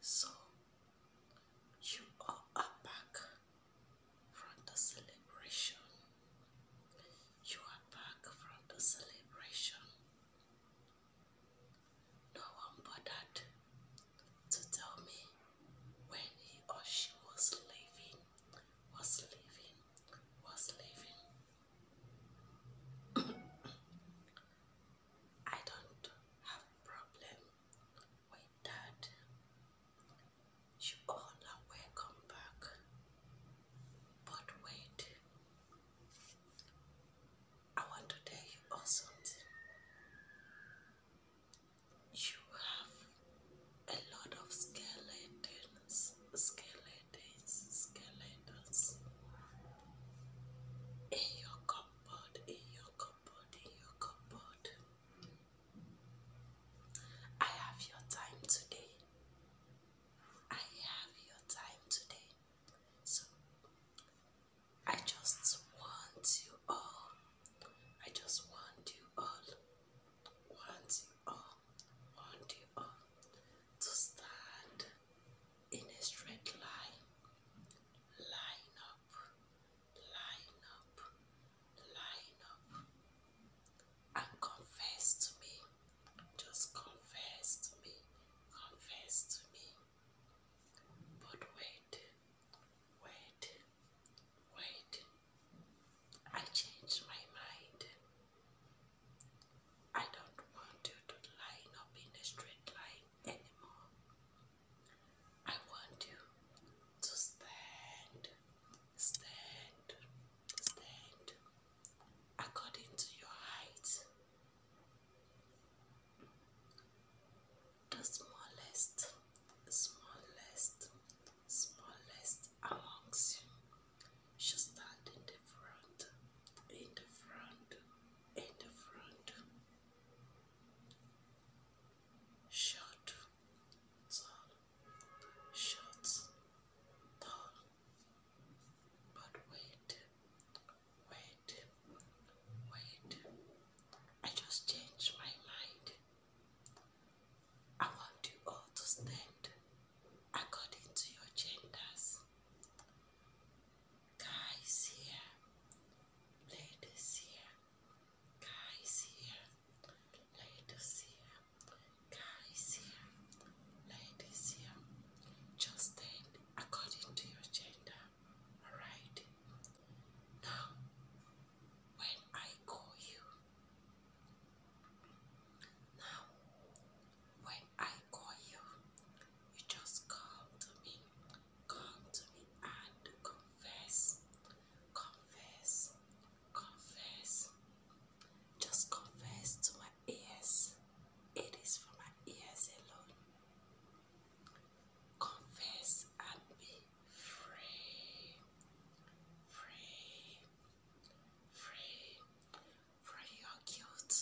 So, you are back from the celebration. You are back from the celebration. No one bothered to tell me when he or she was leaving, was leaving, was leaving. I don't have problem with that. You all are welcome back. But wait, I want to tell you something. You have a lot of skeletons, skeletons holidays, calendars in your cupboard, in your cupboard, in your cupboard. I have your time today. I have your time today. So I just want you all. I just want you all. Want all want you all to stand in a straight line. Line up, line up, line up, and confess to me. Just confess to me, confess to me. But wait, wait, wait. I changed my mind. I don't want you to line up in a straight line anymore. I want you to stand, stand, stand according to your height. The smallest, smallest, smallest amongst you she stand in the front, in the front, in the front. Short, tall, short, tall. But wait, wait, wait. I just changed my mind. I want to stand according to your genders. Guys here, ladies here, guys here, ladies here, guys here, ladies here. Just stand according to your gender, alright? Now, when I call you, now when I call you, you just come to me, come to me and confess, confess, confess. Just confess to my ears. It is for my ears alone. Confess and be free. Free. Free for your guilt.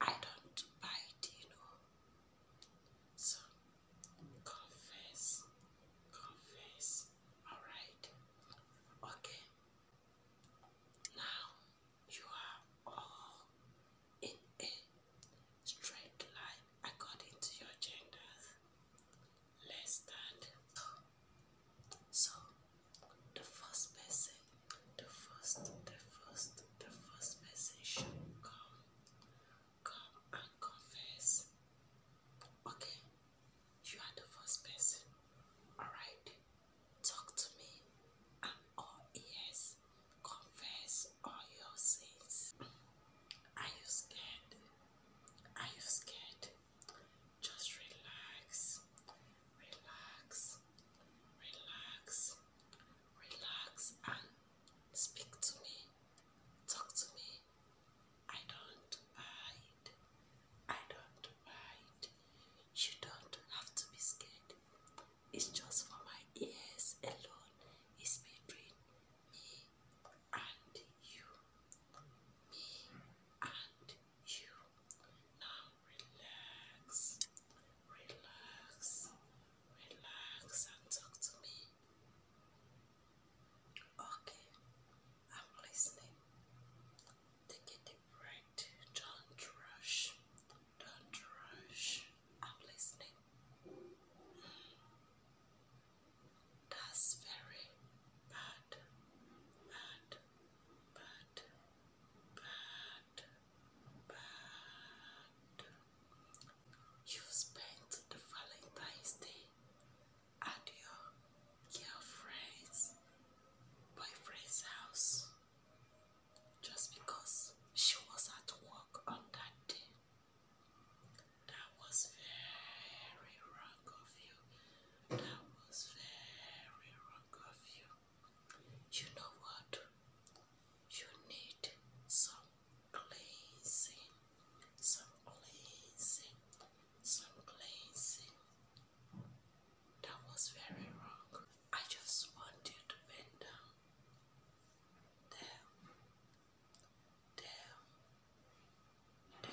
I don't bite, you know. So confess, confess. Alright. Okay. Now you are all in a straight line according to your genders. Let's stand. So the first person, the first, the first, the first person should come, come and confess. Okay, you are the first person. Alright, talk to me. I'm Confess all your sins. Are you scared? Are you scared? Just relax, relax, relax, relax, and speak to me. Talk to me. I don't mind. I don't mind. You don't have to be scared. It's just for my ears alone. It's between me and you. Me and you. Now relax, relax, relax and talk to me. Okay, I'm listening. Take a deep Don't rush. Don't rush. I'm listening. That's very bad. Bad bad, bad, bad. You spent the Valentine's Day at your girlfriend's boyfriend's house just because she was at work on that day. That was very wrong of you. That was very wrong of you. You know what? You need some cleansing, some cleansing, some cleansing. That was very wrong. I just want you to bend down. Damn, damn, damn,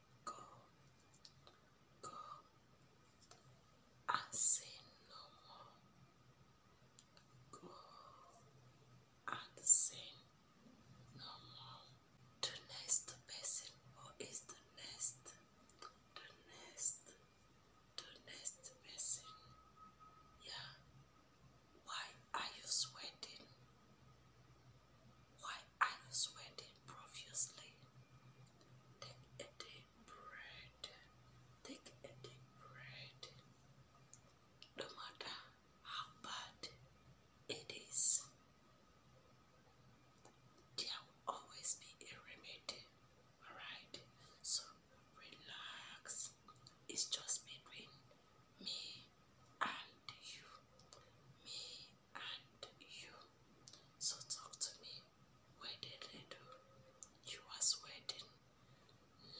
go, go. I say no more. Go and sin no more. The next person, or the next, the next, the next person? Yeah. Why are you sweating? Why are you sweating profusely? Take a deep breath. Take a deep breath. No matter how bad it is, there will always be a remedy. Alright? So relax. It's just between me and you. Me and you. So talk to me. Where did they You are sweating.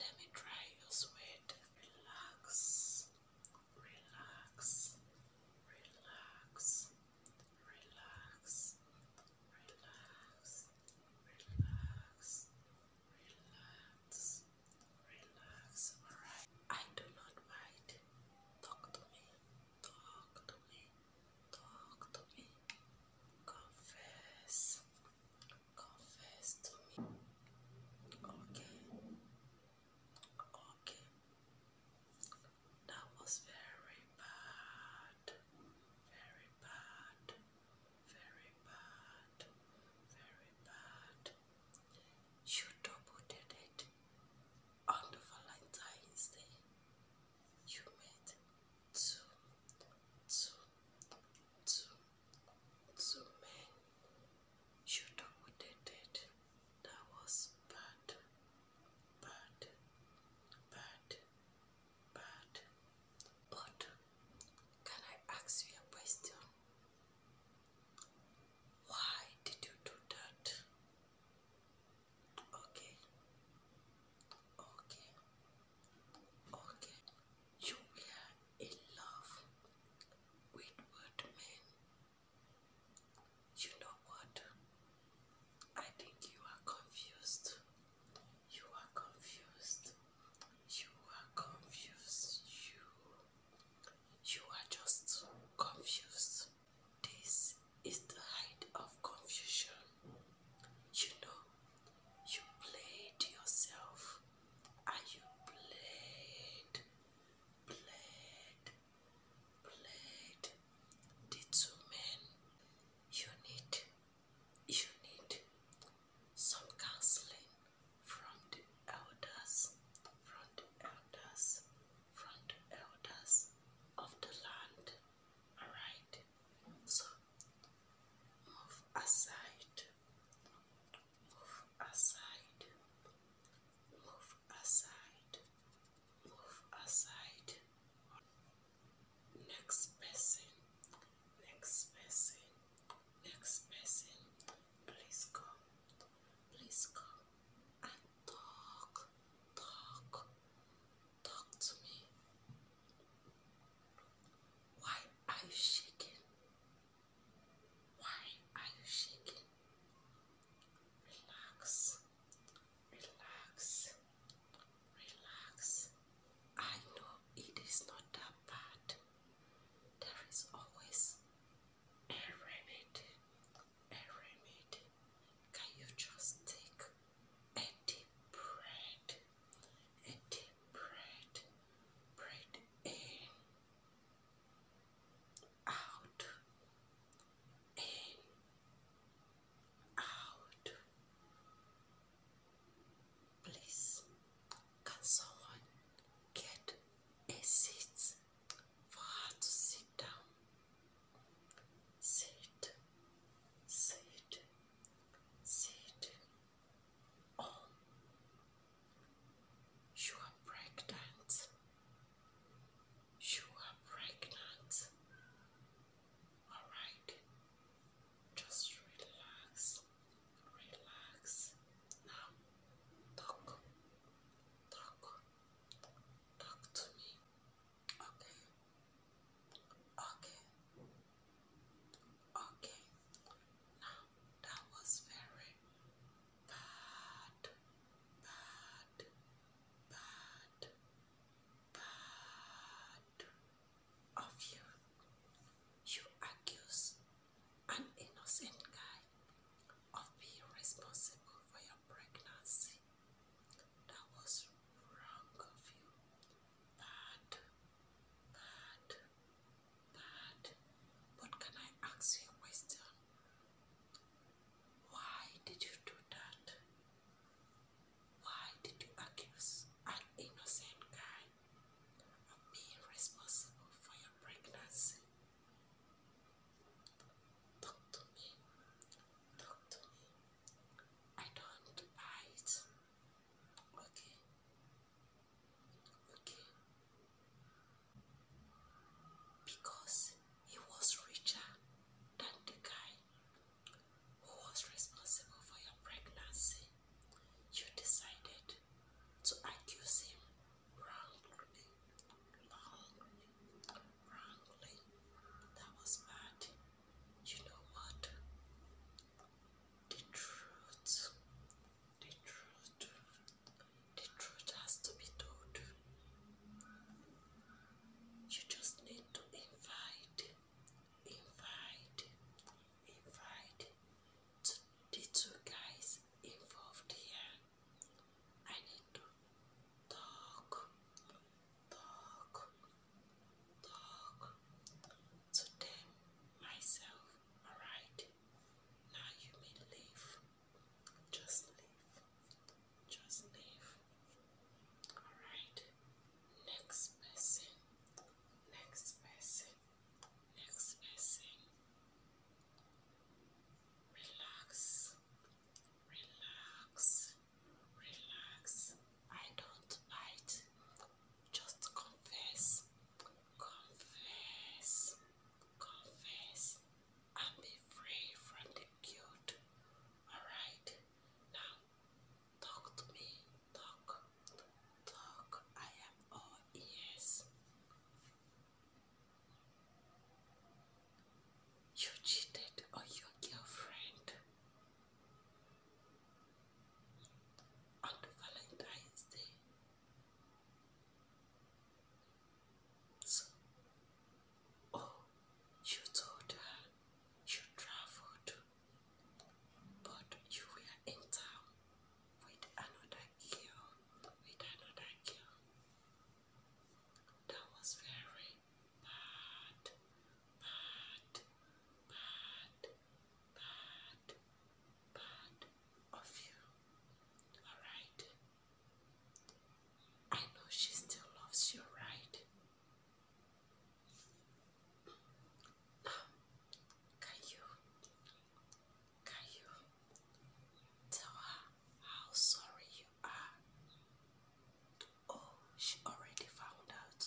Let me dry your sweat. Relax. Relax. Relax. Relax. Relax. Relax. Relax. Relax. Alright. I do not mind. Talk to me. Talk to me. Talk to me. Confess. Confess to me. Okay. Okay. That was very bad. Very bad. Very bad. Very bad. You double did it on the Valentine's Day, you made two, two, two, two men. You know what they did. That was bad, bad, bad, bad. But can I ask you a question? Why did you do that? Okay. Okay. Okay. You were in love with what men? You know what? I think you are confused. You are confused. You are confused. You. You are just confused. This is the height of confusion. You know, you played yourself and you played, played, played the two men. You need, you need some counseling from the elders, from the elders, from the elders of the land. Alright, so move aside, move aside, move aside, move aside. Next person, next person, next person, please come, please come Talk, talk, talk to me. Why are you shaking? Why are you shaking? Relax, relax, relax. I know it is not that bad. There is always a remedy a remedy. Can you just take a deep breath? A deep breath. Breathe in, out, in, out. Please, can someone get a seat? for her to sit down. Sit, sit, sit. Oh, you are pregnant. You are pregnant. Alright, just relax, relax. Now, talk, talk, Talk to me. Okay. Okay. Okay. Now that was very bad, bad, bad, bad of you. You accuse an innocent guy of being responsible for your pregnancy. That was wrong of you. Bad, bad, bad. But can I ask you a Why did you do that? Why did you accuse an innocent guy of being responsible for your pregnancy? Talk to me. Talk to me. I don't want Okay. Okay. Because he was richer than the guy who was responsible for your pregnancy, you decided to accuse him wrongly, wrongly. That was bad. You know what? The truth, the truth, the truth has to be told. You just need to invite, invite, invite the two guys involved here I need to talk, talk, talk to tame myself. Alright, now you may leave. Just leave. Just leave. Alright, next person. Next person. Next person. Relax. Relax, relax. I don't bite. Just confess, confess, confess, and be free from the guilt. Alright, now talk to me. Talk, talk. I am all ears. You cheated on your girlfriend on Valentine's Day. So, oh, you told her you traveled, but you were in town with another girl, with another girl. That was very bad, bad, bad, bad, bad of you. Alright? I know she still loves you, right? Now, can you, how sorry you are. Oh, she already found out.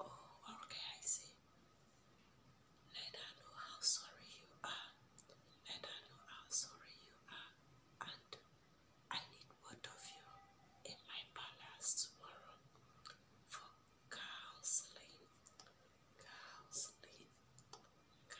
Oh, okay, I see. Let her know how sorry you are. Let her know how sorry you are. And I need both of you in my palace tomorrow for counseling. Counseling.